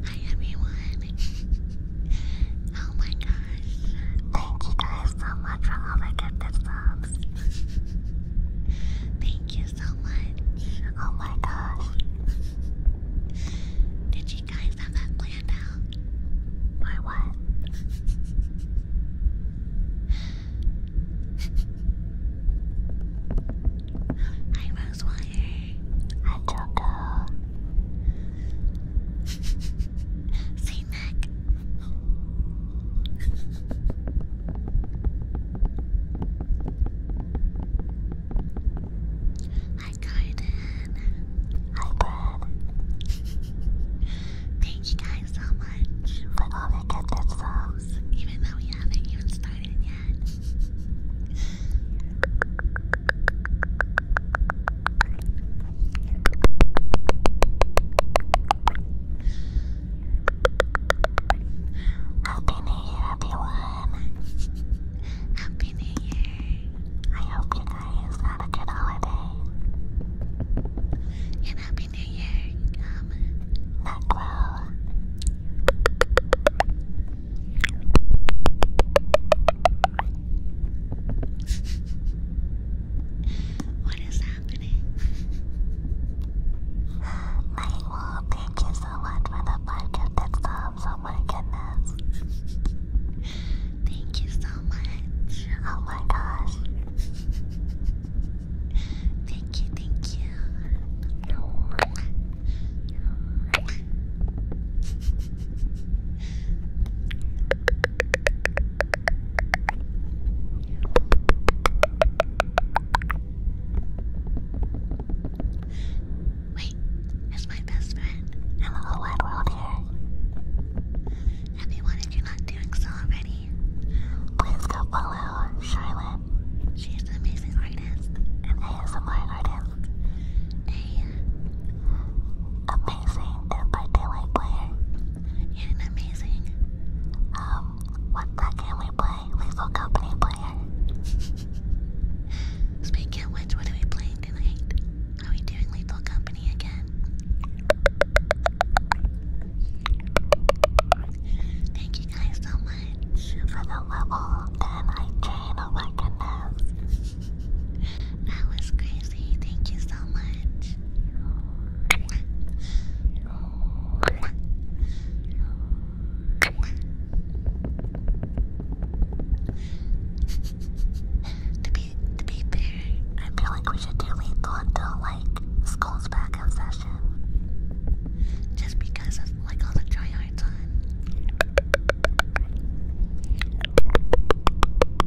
Hi everyone! oh my god, Thank you guys so much for all the gifted subs. Thank you so much. Oh my gosh. Did you guys have that planned out? Or what? I Hi Rosewater. Hi Coco. Say Mac. Hi, Garden. Hi, Bob. Thank you guys so much even though we haven't even started yet. Happy New Year, everyone. Happy New Year. I hope your New Year's a good holiday. And Happy New Year, um, What is happening? My wall, thank you so much for the five of subs. Um, oh my goodness. thank you so much. Oh my gosh. thank you, thank you. Wait, it's my best friend. And the why did you not doing so already? Please go follow Charlotte. She's an amazing artist. An ASMR artist. A amazing Dead by Daylight player. You're amazing. Um, what's that game we play? Lethal Company player. Speaking of which, what are we playing tonight? Are we doing Lethal Company again? Thank you guys so much for the level and I chain. Oh that was crazy. Thank you so much to be to be fair, I feel like we should do lethal until like school's back in Just because of like all the tryhards on.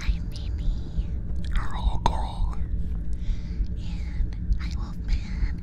I'm Mimi. A little girl. And I love man.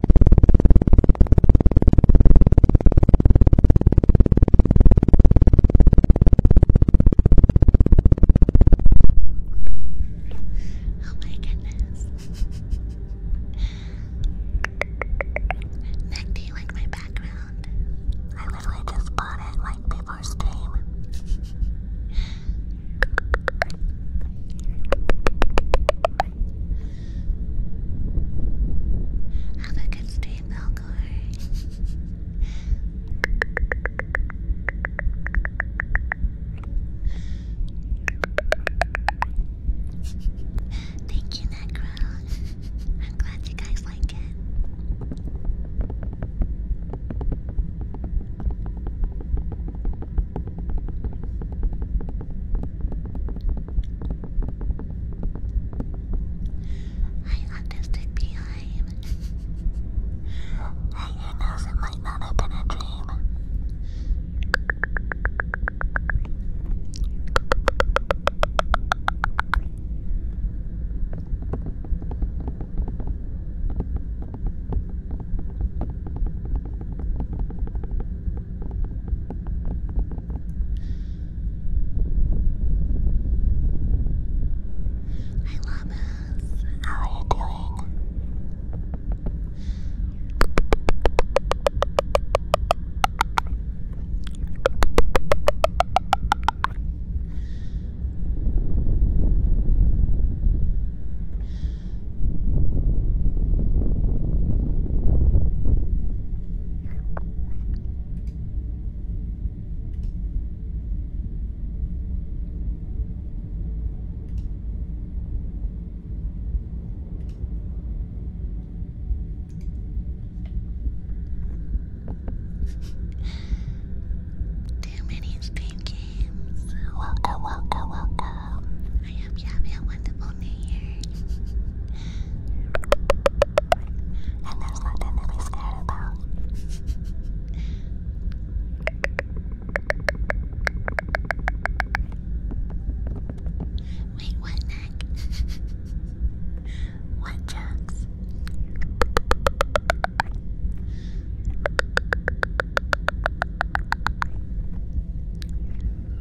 Oh my goodness. Nick, do you like my background? I literally just bought it like before stream. Have a good stream, Belgor. Thank you, Necro. I'm glad you guys like it. I understood behind. I you it might not have been a dream. I Hi Llamas, how are you doing? Too many screen games. Welcome, welcome, welcome. I hope you're a wonderful new year. And there's not that many scatter though. Wait, what neck? what jokes?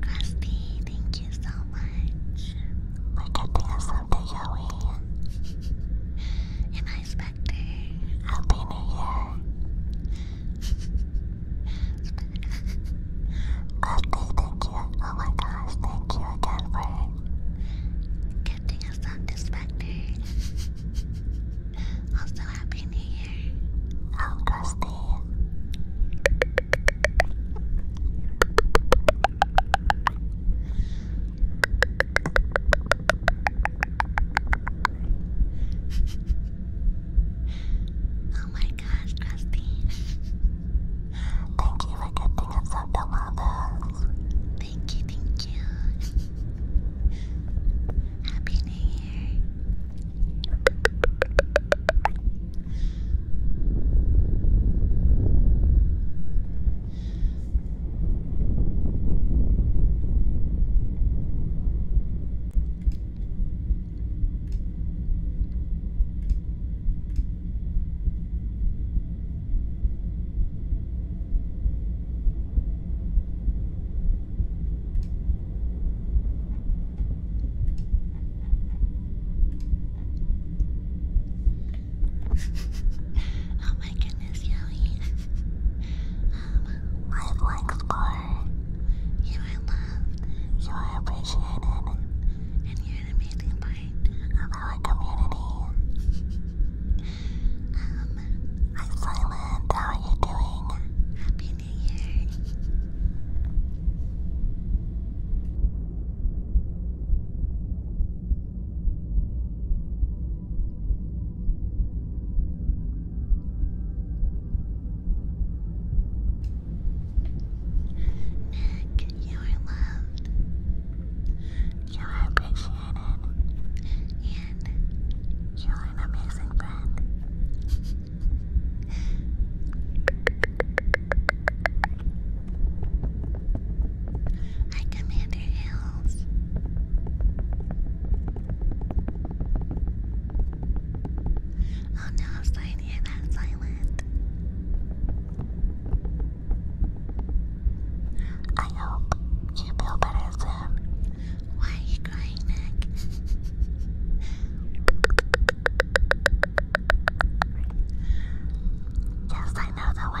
Krusty, thank you so much. Look at this, Uncle Yowie. Am I Spectre? Happy New Year. Krusty, thank you. Oh my gosh, thank you again for us on to also, happy new year. Oh, oh my gosh, Krusty. thank you for getting us up the Thank you, thank you. Happy New Year oh my goodness, Yowie. um, life likes more. You are loved. You are appreciated. And you're an amazing part of our community. um, I'm silent. How Happy Nick, you are loved. You are appreciated. And you are an amazing friend. I Commander Hills. Oh no, I'm starting to hear silent. I hope you feel better soon. Why are you crying, Mac? yes, I know way.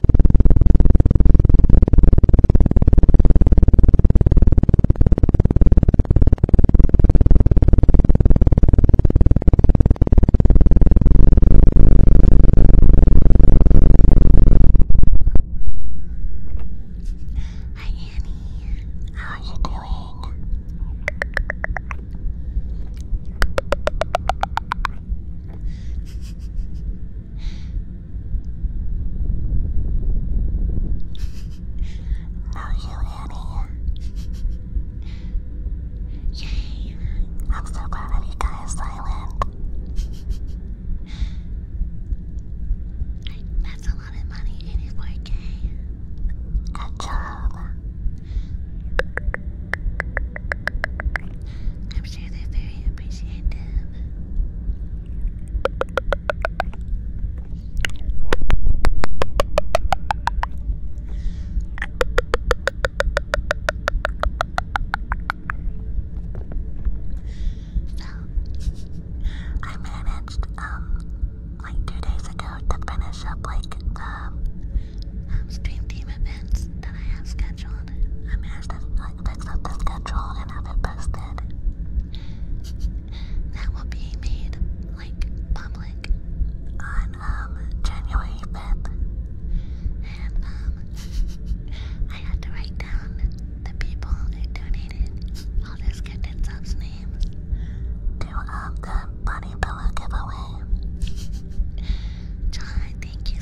Hi Annie, how are you doing? I'm so glad that you guys is silent. that's a lot of money, 84k. Good I'm sure they're very appreciative. So, I managed, um, like two days ago to finish up, like, the um, stream team events that I have scheduled schedule. I managed to fix up the schedule and have it posted. that will be made like public on um, January 5th. And um I had to write down the people who donated all this good and subs to um the bunny pillow giveaway. John, thank you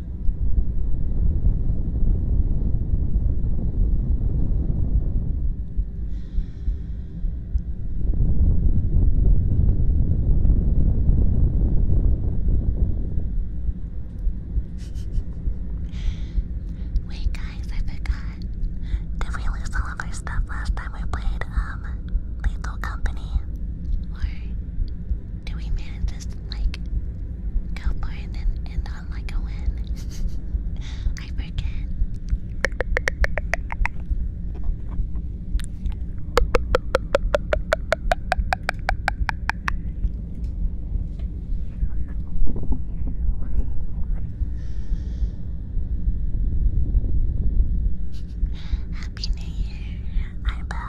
Wait, guys, I forgot. Did we lose all of our stuff last time we played um Lethal Company? Or do we manifest like go for it and end on like a win? I forget. Happy New Year, Arba. I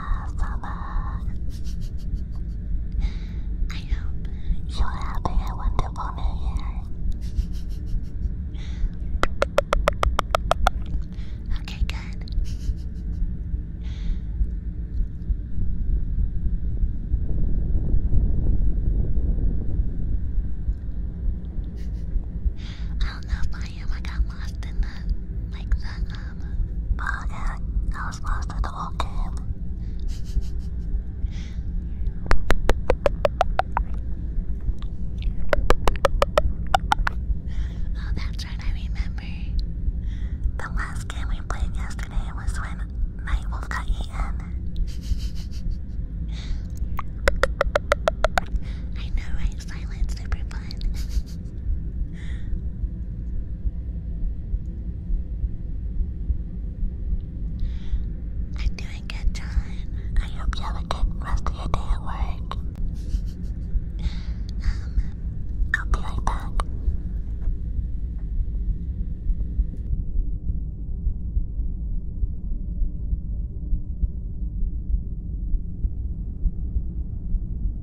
hope you're having a wonderful new year. Okay, good. I don't know if I am. I got lost in the like the. Uh, but I was lost for the whole game. oh, that's right, I remember. The last game we played yesterday was when Nightwolf got eaten. I know, right? Silence, super I'm doing good, John. I hope you have a good rest of your day at work. Um, I'll be right back.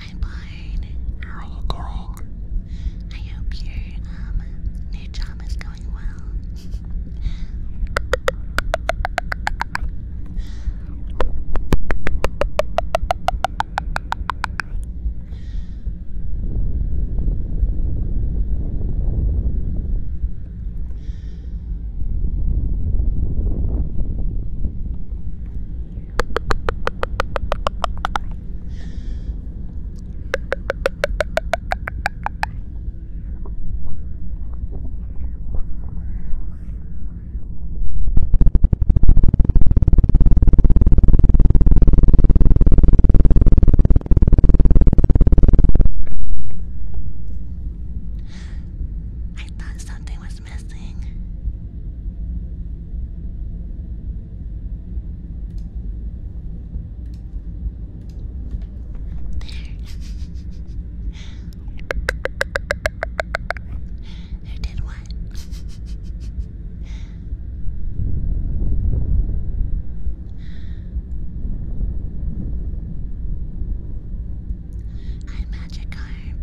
I'm bored. You're all girl. I hope you new job is going well. I thought something was missing. There. Who did what? Hi, Magikarp.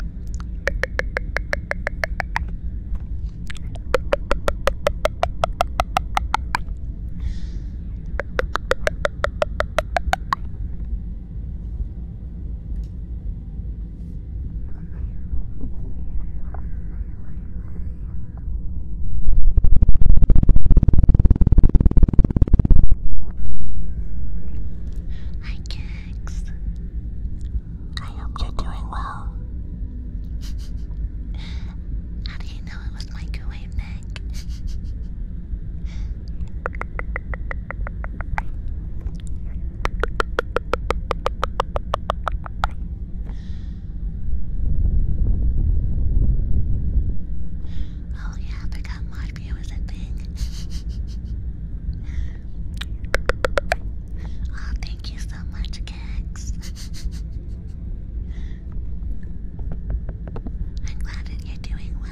Hi, Kex. I hope you're doing well. How do you know it was microwave neck? oh yeah, I forgot Marvio a thing. oh, thank Thank you so much, Kex. I'm glad that you're doing well.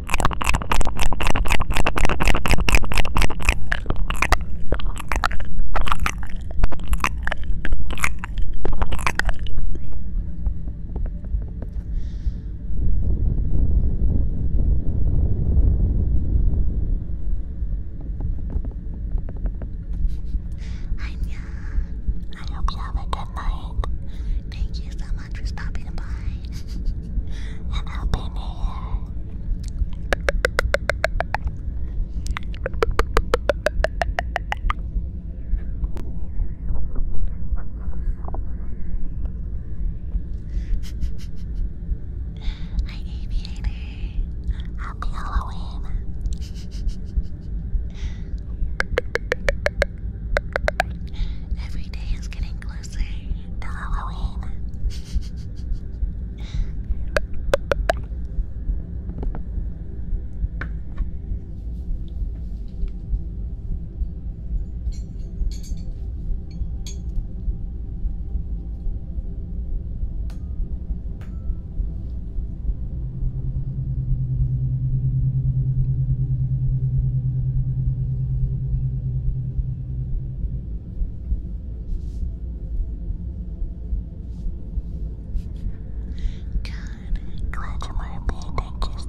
I hope you have a good night. Thank you so much for stopping by. and opening it. Happy Halloween. Every day is getting closer to Halloween. Good. Glad you were me. Thank you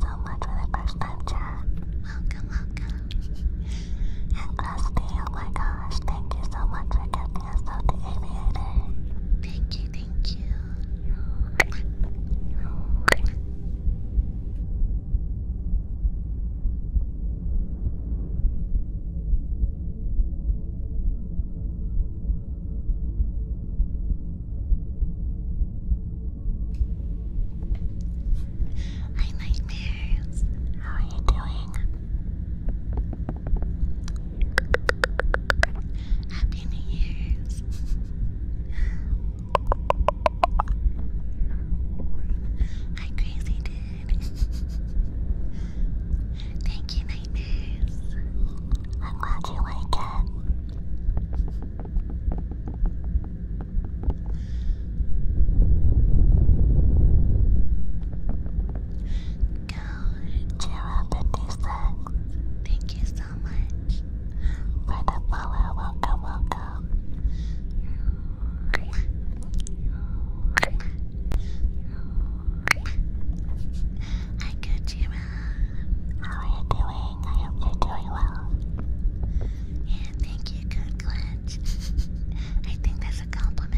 so much for the first time chat. Welcome, welcome. And Krusty, oh my gosh, thank you so much for getting us out the aviator. Thank you, thank you. Hi nightmares. How are you doing? Happy New Year's. Hi, crazy dude. Thank you, nightmares. I'm you like it. Go, Jira56. Thank you so so much for uh, Welcome, welcome. Hi, Gojira. How are you doing? I hope doing well. Yeah, thank you, good glitch. I think that's a compliment.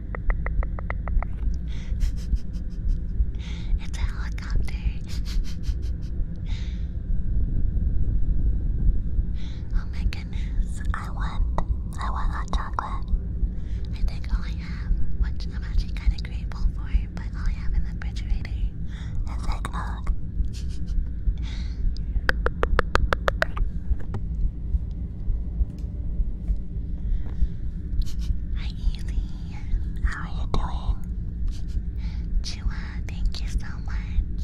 it's a helicopter. oh my goodness. I want I want hot chocolate. I think all have, which I'm actually kinda grateful for, but all I have in the refrigerator is eggnog. Hi Ely, how are you Chua, thank you so much.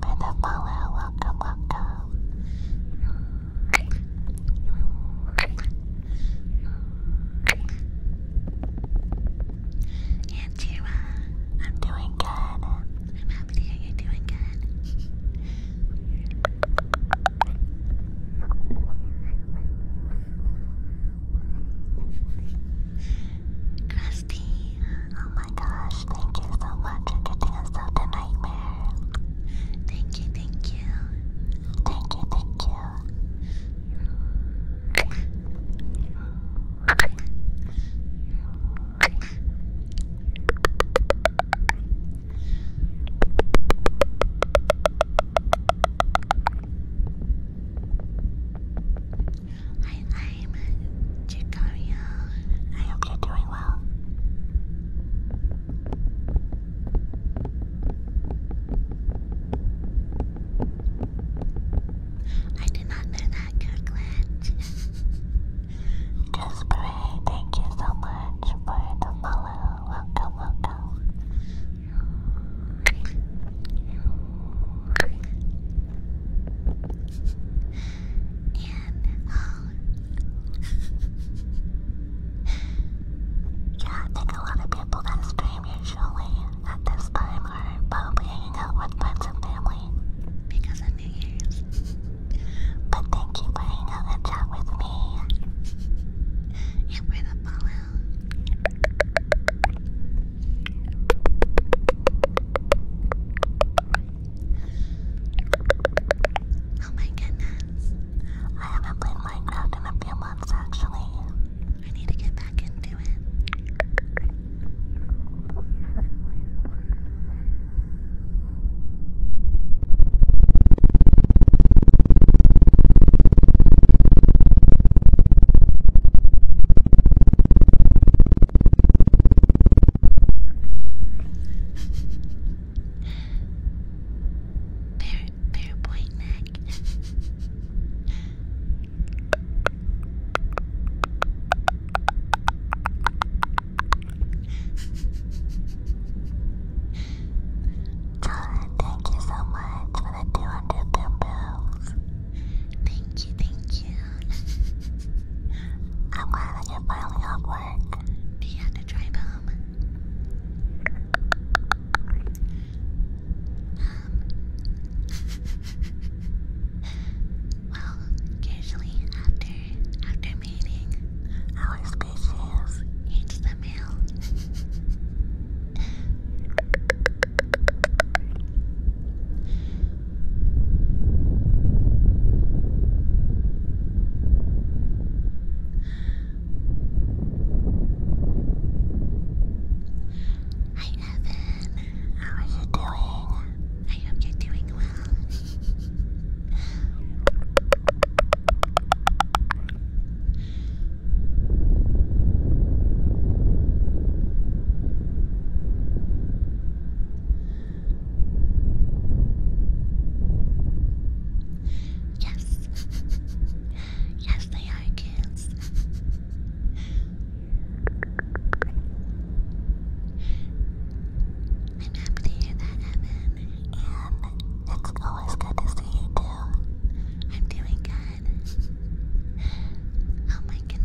Benefella, welcome, welcome. And Chua, I'm doing good. I'm happy to you're doing good. Krusty, oh my gosh, thank you so much for taking us out the nightmare. Thank you, thank you. Thank you, thank you. I, am Chicago. I hope I did not know that, Kirkland. yes, Bray, thank you so much. Welcome, welcome yeah, I think a lot of people that stream usually at this time are probably hanging out with friends and family because of New Year's. But thank you for hanging out and chat with me. And for the follow, Oh my goodness. I haven't played Minecraft in a few months actually. I need to get back into it. Bear, bear point neck. John, thank you so much I'm glad that you're Do you have to drive home? well, usually after after mating, our species eats the meal. Hi Evan, how are you I hope you're doing well. Yes, yes, they are kids. I'm happy to hear that, Evan, it's always good to see you too. I'm doing good. Oh my goodness.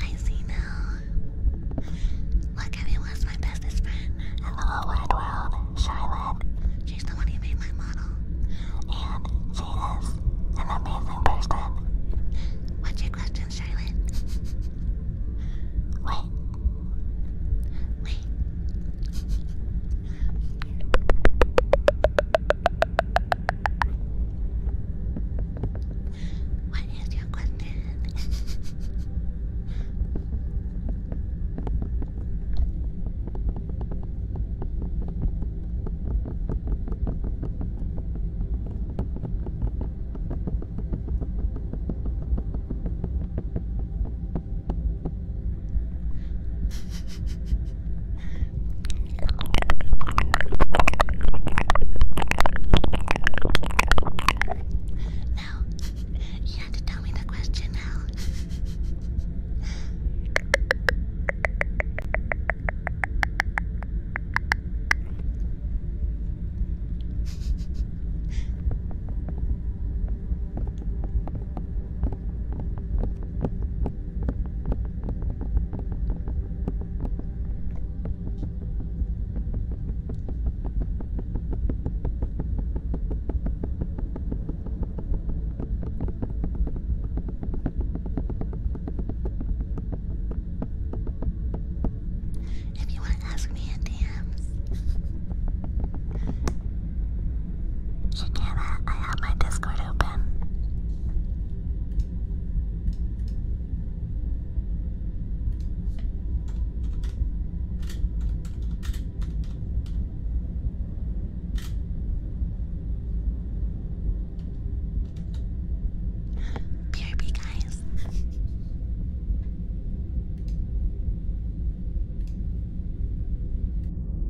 I see now. Look at me was my bestest friend. In the whole wide world, Charlotte. She's the one who made my model. And she is an amazing person. What's your question, Charlotte? Wait. What is your question? Now, you have to tell me the question now. If you want to ask me in DMs. Shakira, I have my Discord open. BRB, guys.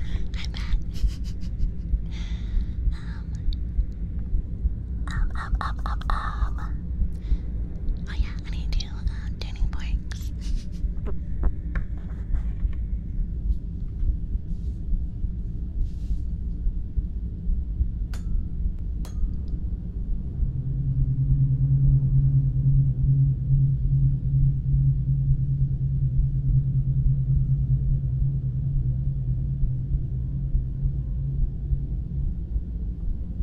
I bet. um, um, um, um, um, um. Oh yeah, when you do um, tuning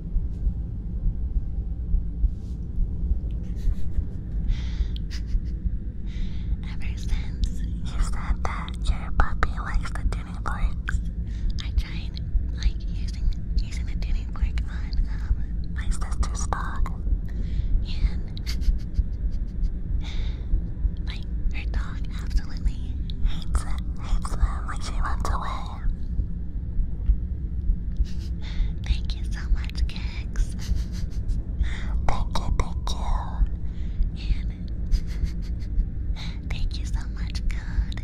Ever since you said that your puppy likes the tuning forks, I tried like using using the tuning fork on um, my sister's dog, and like her dog absolutely hates it, hates it when she runs away. Thank you so much, Kex. Boko Boko. And thank you so much, God.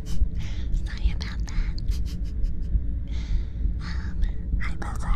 Sorry about that. Um, hi, Buzzard.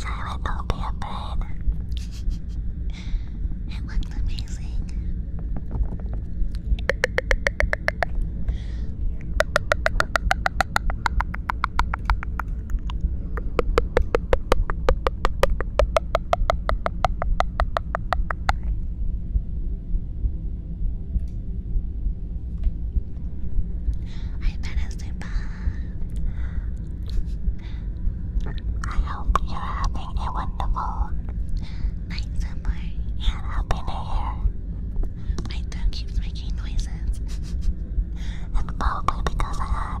Charlotte, don't be afraid. It looked amazing. I better sleep off. I hope you're having a wonderful night summer and happy new year. My throat keeps making noises. it's probably because I had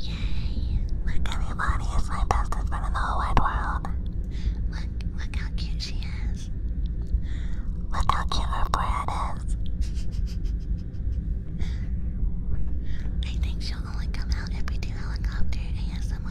Yay! Look, everybody is my bestest friend in the whole wide world. Look, look how cute she is. Look how cute her bread is. I think she'll only come out if we do helicopter ASMR.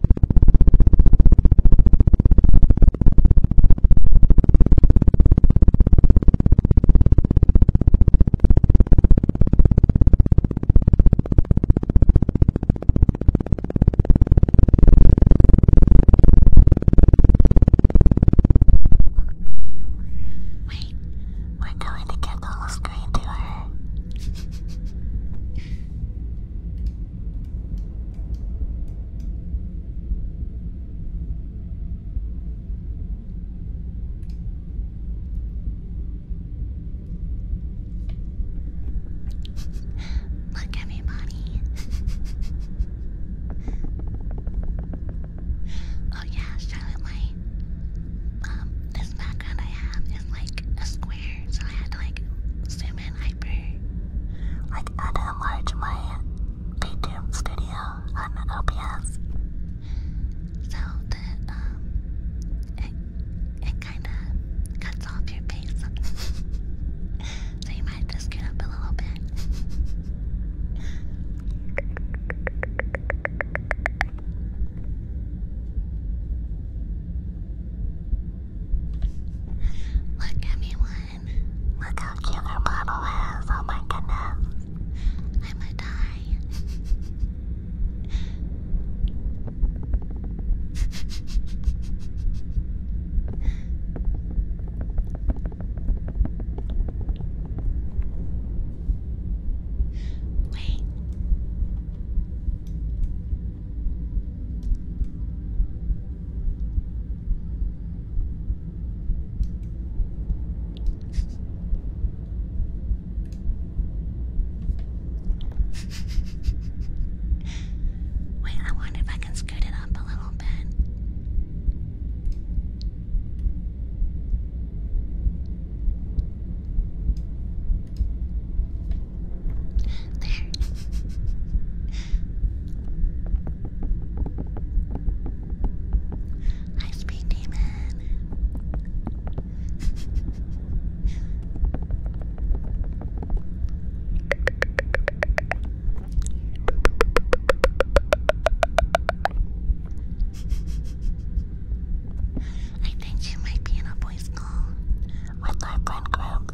Wait, we're going to get the little screen to her. Look, everybody. oh, yeah, Charlotte, my. Um, this background I have is like a square, so I had to like I'm in hyper. Like I'd enlarge my VTube studio on OBS. So that um it it kinda cuts off your face. so you might just get up a little bit. Look, everyone. Look how cute our bottle Oh my goodness. I'm gonna die. Wait. Wait, I wonder if I can scoot it up a little bit. There. High speed demon. I think she might be in a voice school with my friend Grog.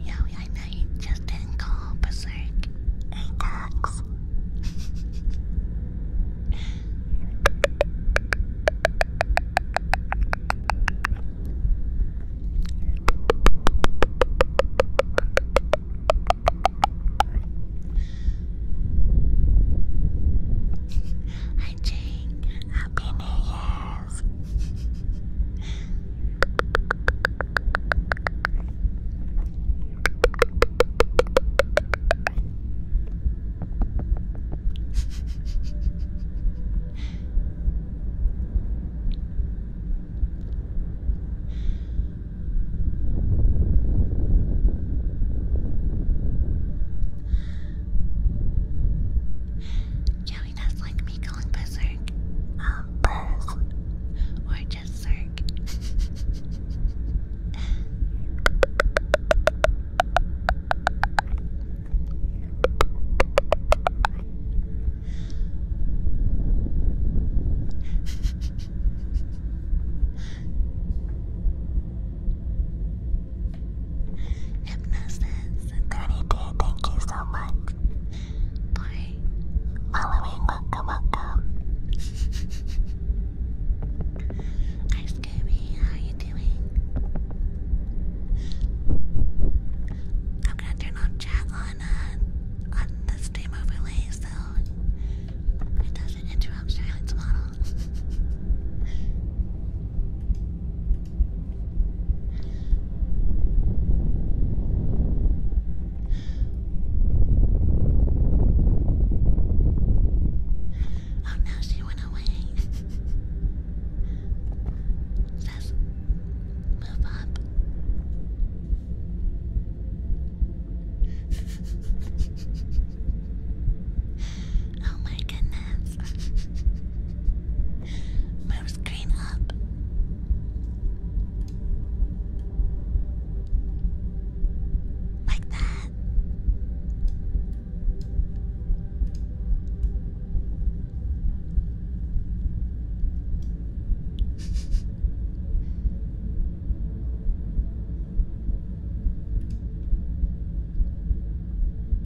Yeah, I know you just didn't call berserk. Hey, Dax. Hi Jake, happy new year! is. Yeah, join like me going berserk. Um, or just circ. Hypnosis thank you so much. Bye. Halloween waka waka. Hi Scooby, how you doing? I'm gonna turn on chat on on the stream overlay so it doesn't interrupt Charlotte's model. Oh no, she went away. Says, move up. oh my goodness. Move screen up. Like that.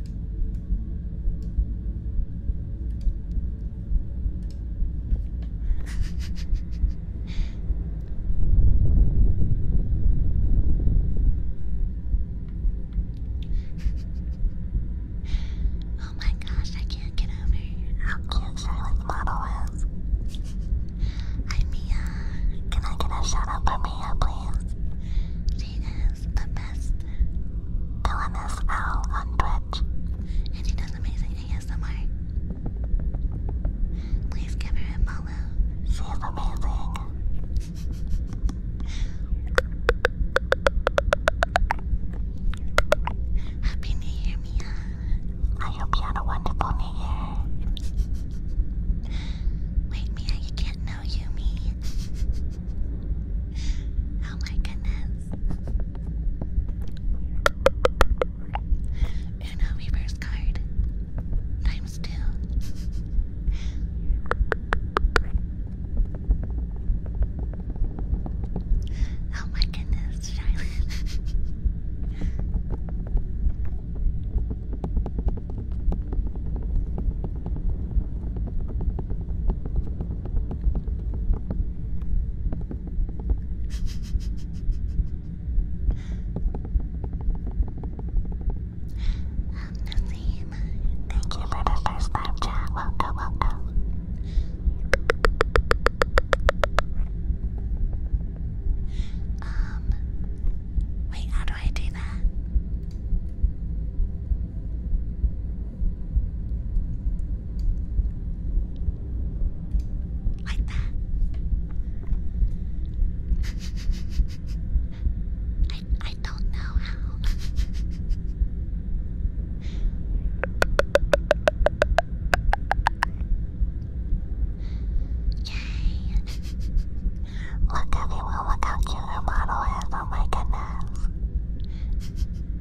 oh my gosh, I can't get over how cute Charlotte's model is. Hi Mia. Can I get a shout out for Mia, please? the best. LMSL on And she does amazing ASMR. Please give her a follow. She's amazing. Happy New Year, Mia. I hope you had a wonderful New Year. Wait, Mia, you can't know you, me. Oh my goodness. Uno reverse card. Times two. oh my goodness, Charlotte. Nazim, thank you for the first live chat. Welcome, welcome. Um, wait, how do I do that? Like that. I I don't know how. Yay! Look everyone, look how cute her model my goodness.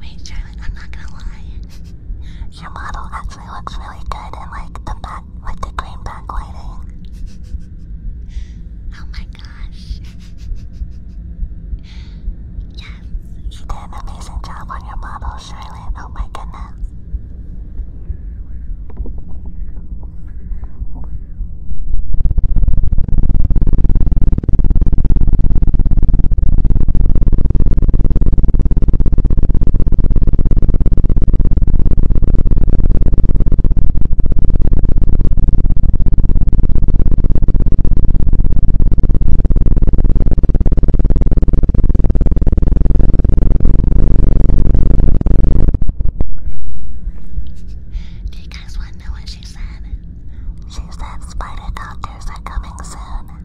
Wait, Charlotte, I'm not gonna lie. Your model actually looks really good, and like the back with the green backlighting. oh my gosh. yes. You did an amazing job on your model, Charlotte. Oh my goodness. Do you guys want to know what she said? She said spider doctors are coming soon.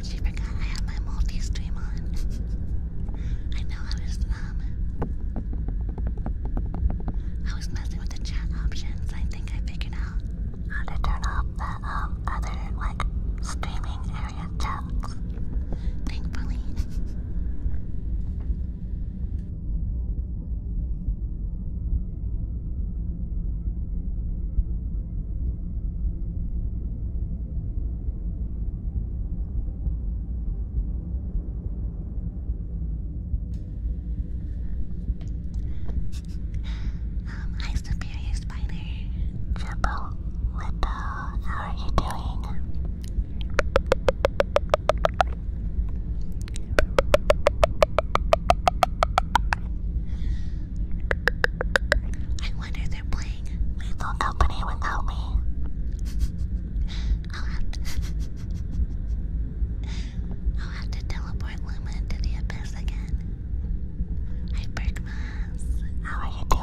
I forgot I have my multi stream on. I know I was um I was messing with the chat options. I think I figured out how to turn off that um, other like streaming area jokes. Thankfully. Um, hi, Superior Spider. Jumbo, what the? How are you doing? I wonder they're playing. Lethal company without me. I'll, have to teleport Lumen to the abyss again. Hi, Bergmas. How are you doing?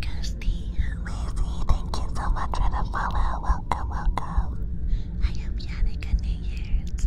Kirsty, Lizzie, thank you so much for the follow. Welcome, welcome. I hope you had a good New Year's.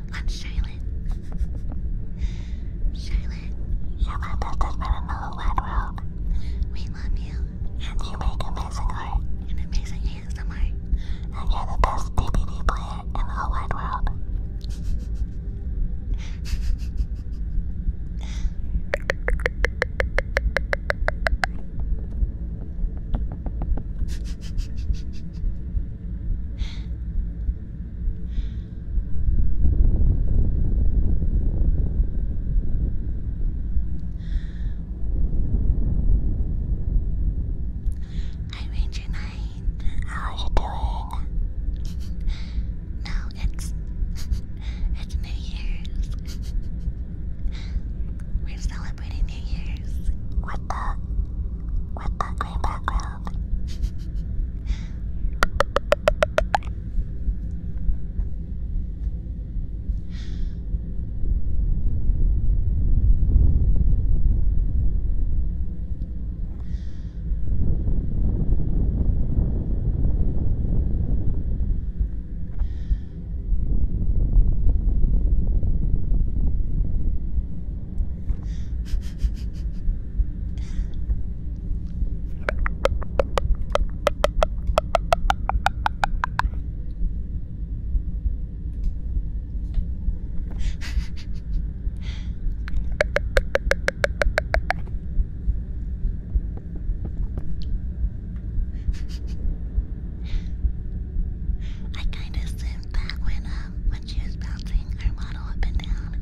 I'm Charlotte. Charlotte. You contacted Maranola Wide World. We love you. And you make amazing art. And amazing ASMR. And you're the best DVD player in the wide world. Hi, Ranger Knight. How you doing? no, it's it's New Year's. We're celebrating New Year's. with the with the green background. I kind of sent back when uh, um, when she was bouncing her model up and down.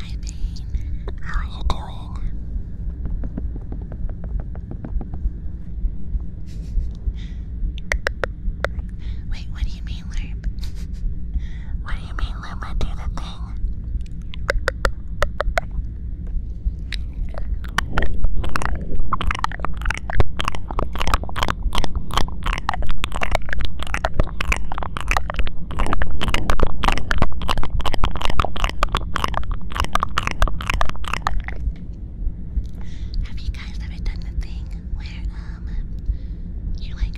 Hi, Bane. How are you doing? Wait, what do you mean, Lerp? what do you mean, Lumba do the thing. Have you guys ever done the thing where um you're like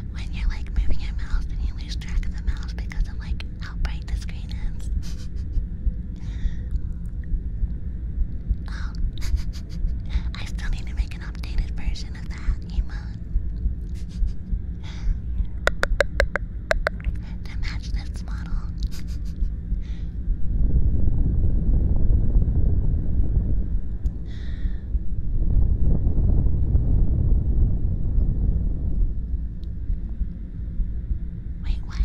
when you're like moving your mouse and you lose track of the mouse because of like how bright the screen is. oh, I still need to make an updated version of that emote to match this model. Wait, what?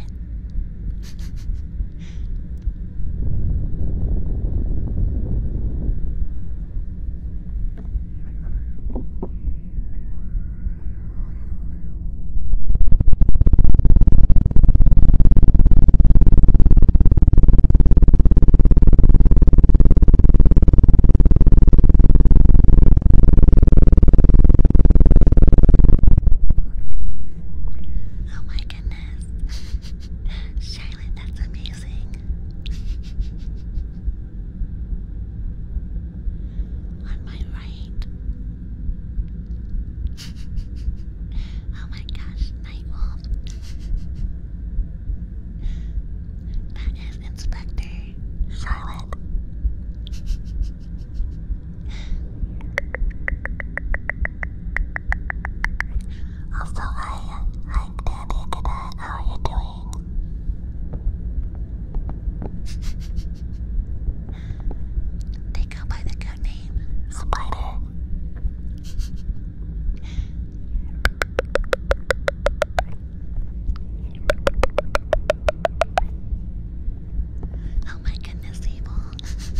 Oh my goodness. Charlotte, that's amazing. On my right. oh my gosh, Nightwolf. That is Inspector Silent. also, hi, hi, Daddy. Good night. How are you doing? they go by the code name Spider. Oh my goodness, people.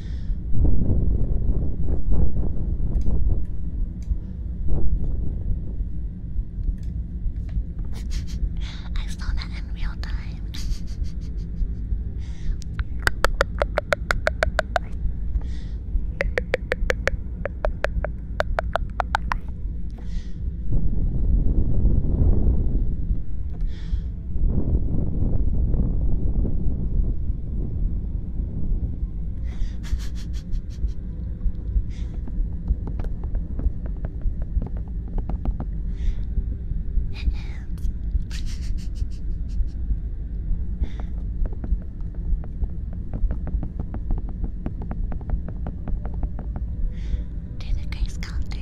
I saw that in real time to the grace counter.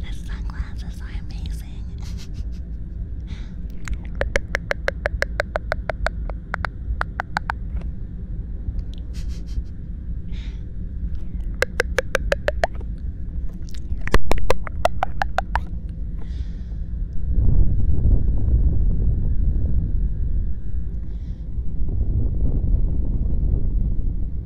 The sunglasses are amazing.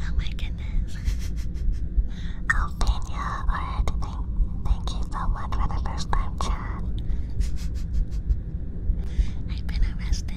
Oh my goodness. oh, Daniel, alright, thank, thank you so much for the first time chat. I've been arrested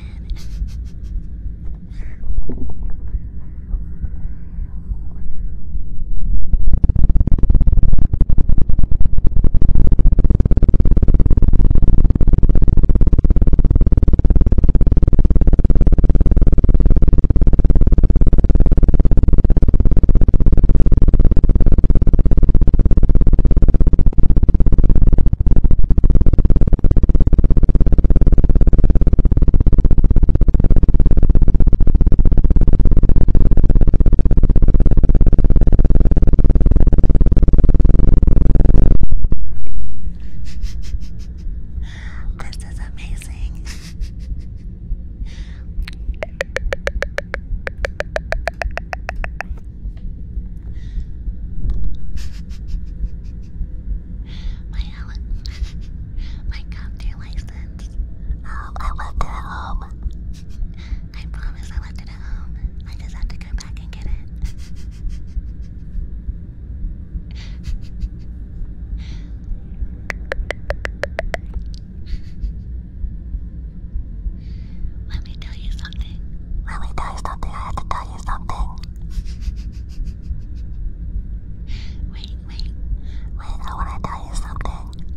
this is amazing my Alan, my counter license. Um, I left it at home. I promise I left it at home. I just have to go back and get it. Let me tell you something. Let me tell you something. I have to tell you something. wait, wait. Wait, I want to tell you something.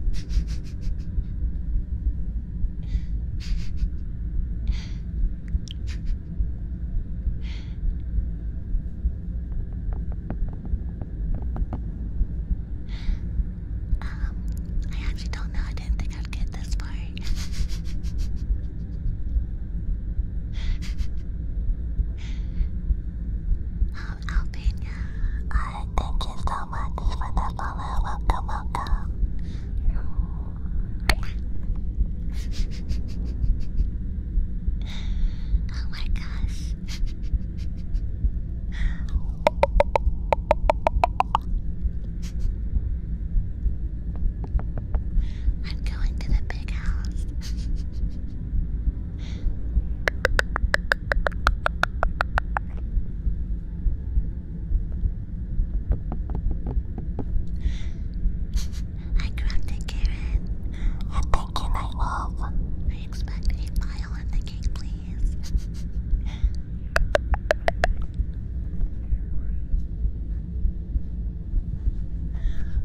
Um, I actually don't know. I didn't think I'd get this far. um, Albania. Alright, thank you so much for the follow. Welcome, oh my gosh. I'm going to the big house. I grunted Karen. A pig and a wolf. I expect a mile in the cake, please.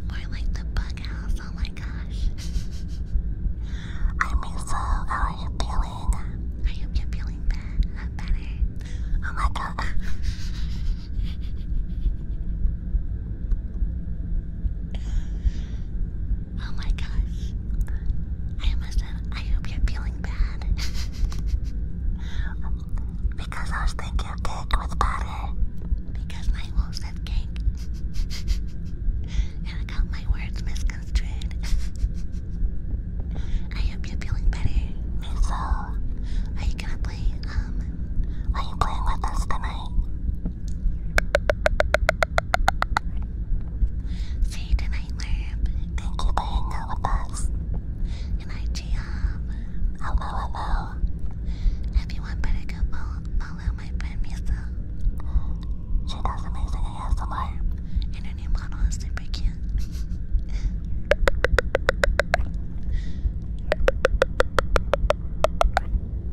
More like the bug house, oh my gosh. I mean, how are you feeling? I hope you're feeling better. uh, better. Oh my god. Oh my gosh. I must have. I hope you're feeling bad. because I was thinking of cake with butter. Because my wolf said cake. and I got my words misconstrued. I hope you're feeling better. Me so. Are you gonna play, um. Are you playing with us tonight? See you tonight, Thank you for hanging out with us. And I, Giam. Hello, If you want better, go follow, my friend Misa. She does amazing ASMR. And her new model is super cute.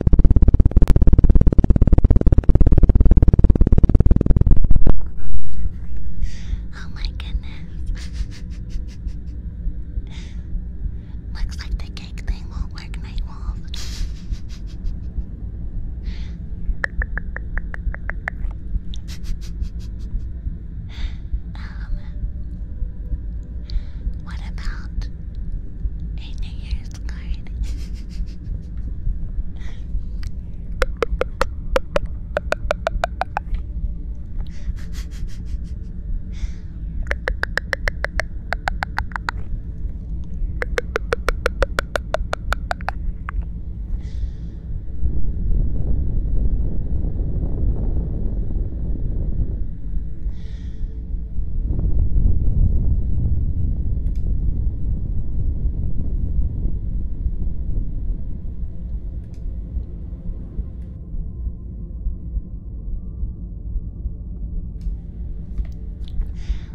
Oh my goodness. Looks like the cake thing won't work, Night um, what about a New Year's card?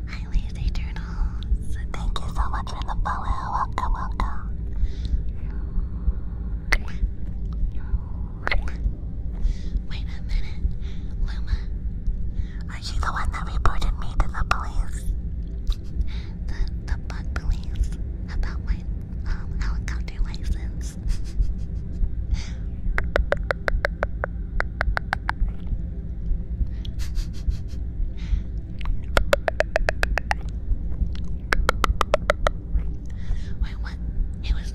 Highway of Eternals. Thank you so much for the follow. Welcome, welcome. Wait a minute, Luma. Are you the one that reported me to the police? The the bug police about my um helicopter license. Wait, what? It was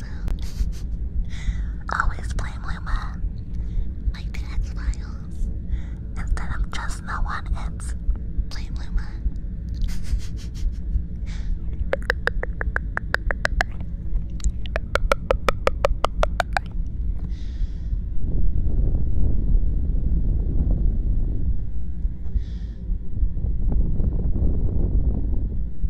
sound. Always blame Luma. I did X Instead of just no one, it's blame women.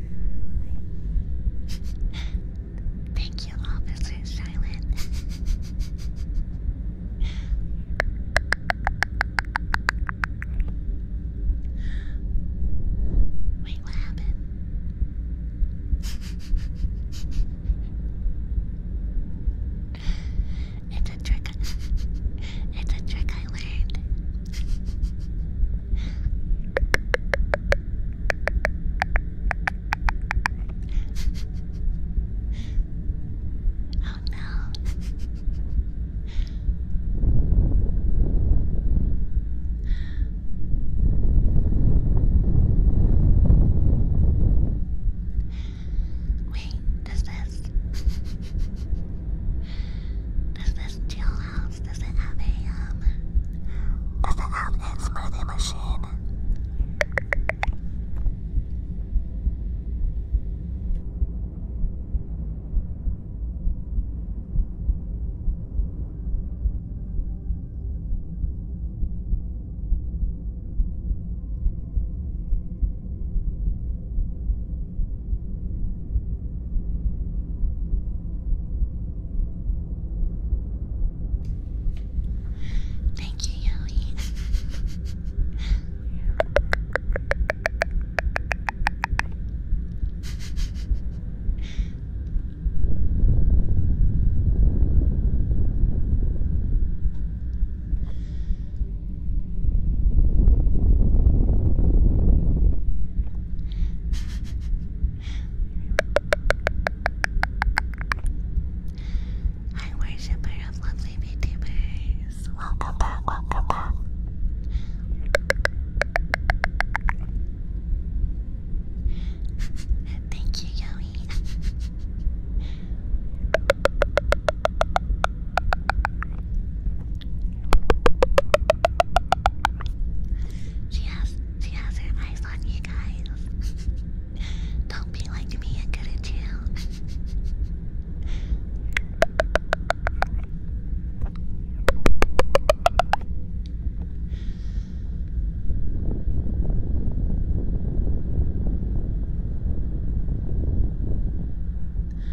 Thank you, Officer Silent. Wait, what happened? it's a trick. it's a trick I learned. Oh no. Wait, does this does this chill out? house? Does it have a um? Does it have a smoothie machine? Thank you, Yowie. Hi, worshipper of lovely VTubers. Welcome back, welcome back. Thank you, Yoey. She has she has her eyes on you guys. Don't be like me and get it too.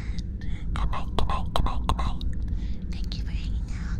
Good night, good night, good night, good night. Thank you for hanging out.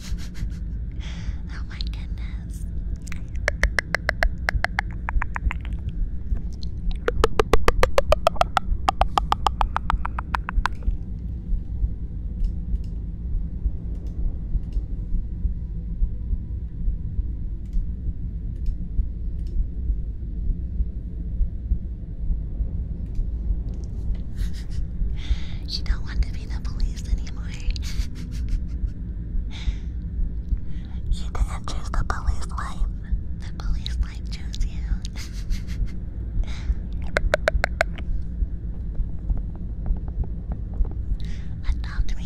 Oh my goodness. you don't want to be the police anymore. You didn't choose the police life. The police life chose you. Adopt me.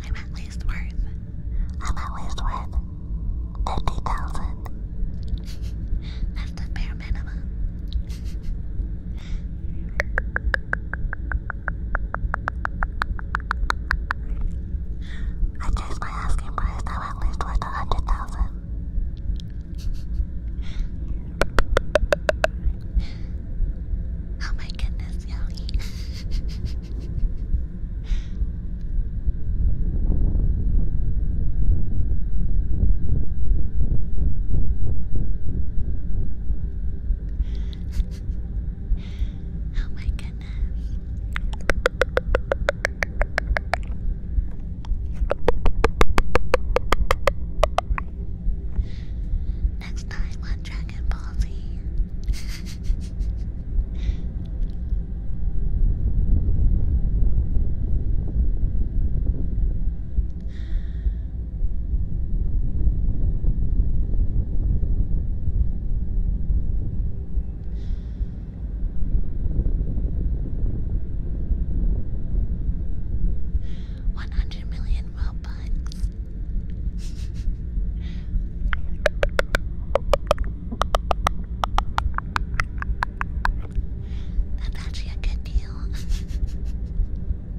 I'm at least worth. I'm at least worth thirty thousand. That's the bare minimum. I changed my asking price I'm at least worth a hundred thousand. Oh my goodness, Yogi. Oh my goodness. Next time on Dragon Ball Z. 100 million robots. That's actually a good deal.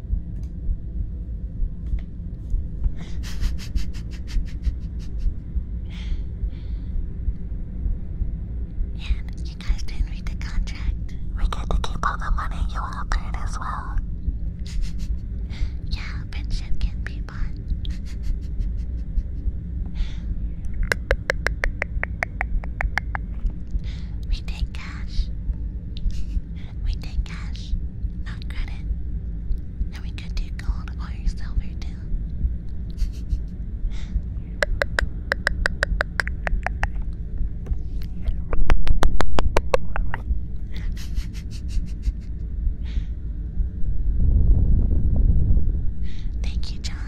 And you guys didn't read the contract. We get to keep all the money you all paid as well. yeah, pension can be bought. we take cash. We take cash, not credit. And we could do gold or silver too. Thank you, John.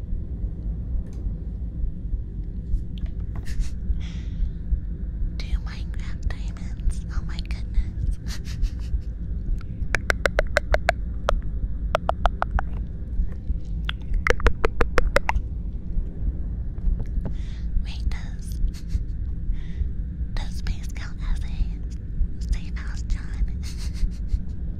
Two Minecraft diamonds. Oh my goodness. Wait, does does space count as a safe house, John?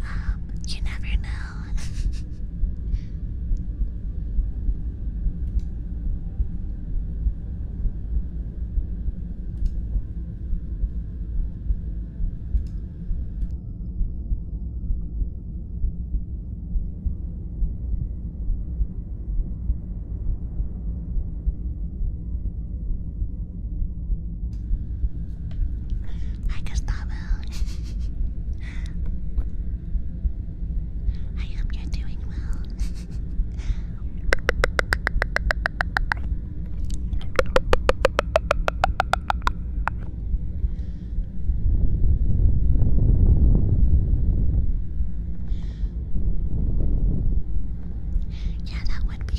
Um, you never know. Hi, Gustavo. I hope you're doing well. yeah, that would be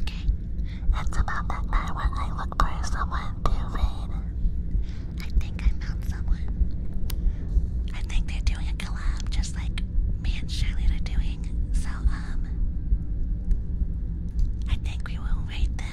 okay. It's about that night when I look for someone to read. I think I found someone. I think they're doing a collab just like me and Shirley are doing. So, um, I think we will rate them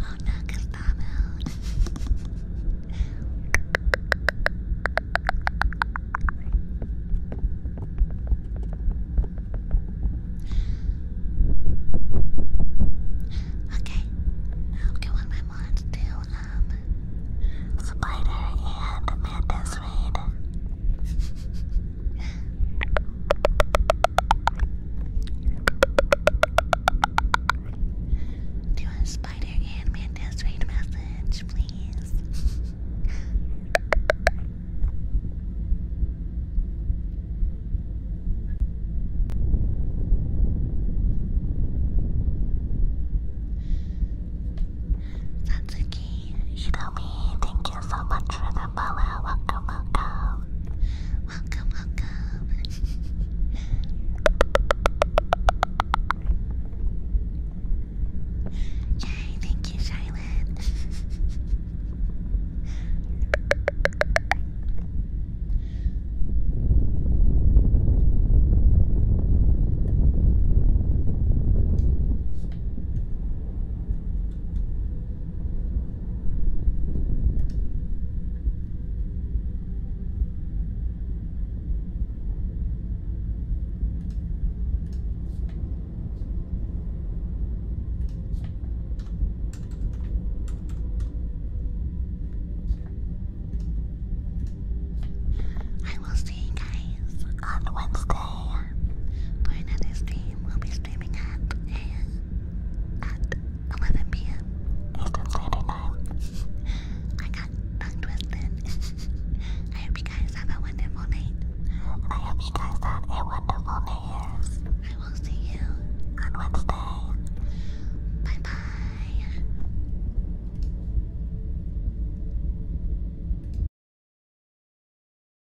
Oh no, Gustavo. okay, now I'm going my mods to um Spider and Amanda's raid. Do a spider and mantis message, please. Satsuki, Shitomi, thank you so much for the follow. Welcome, welcome. Welcome, welcome. Jai, thank you, Silent. I will see you guys on Wednesday platform another stream will be streaming at eh, at 11 p.m. I got tongue twisted. I hope you guys have a wonderful night. I hope you guys have a wonderful day. I will see you on Wednesday. Bye bye.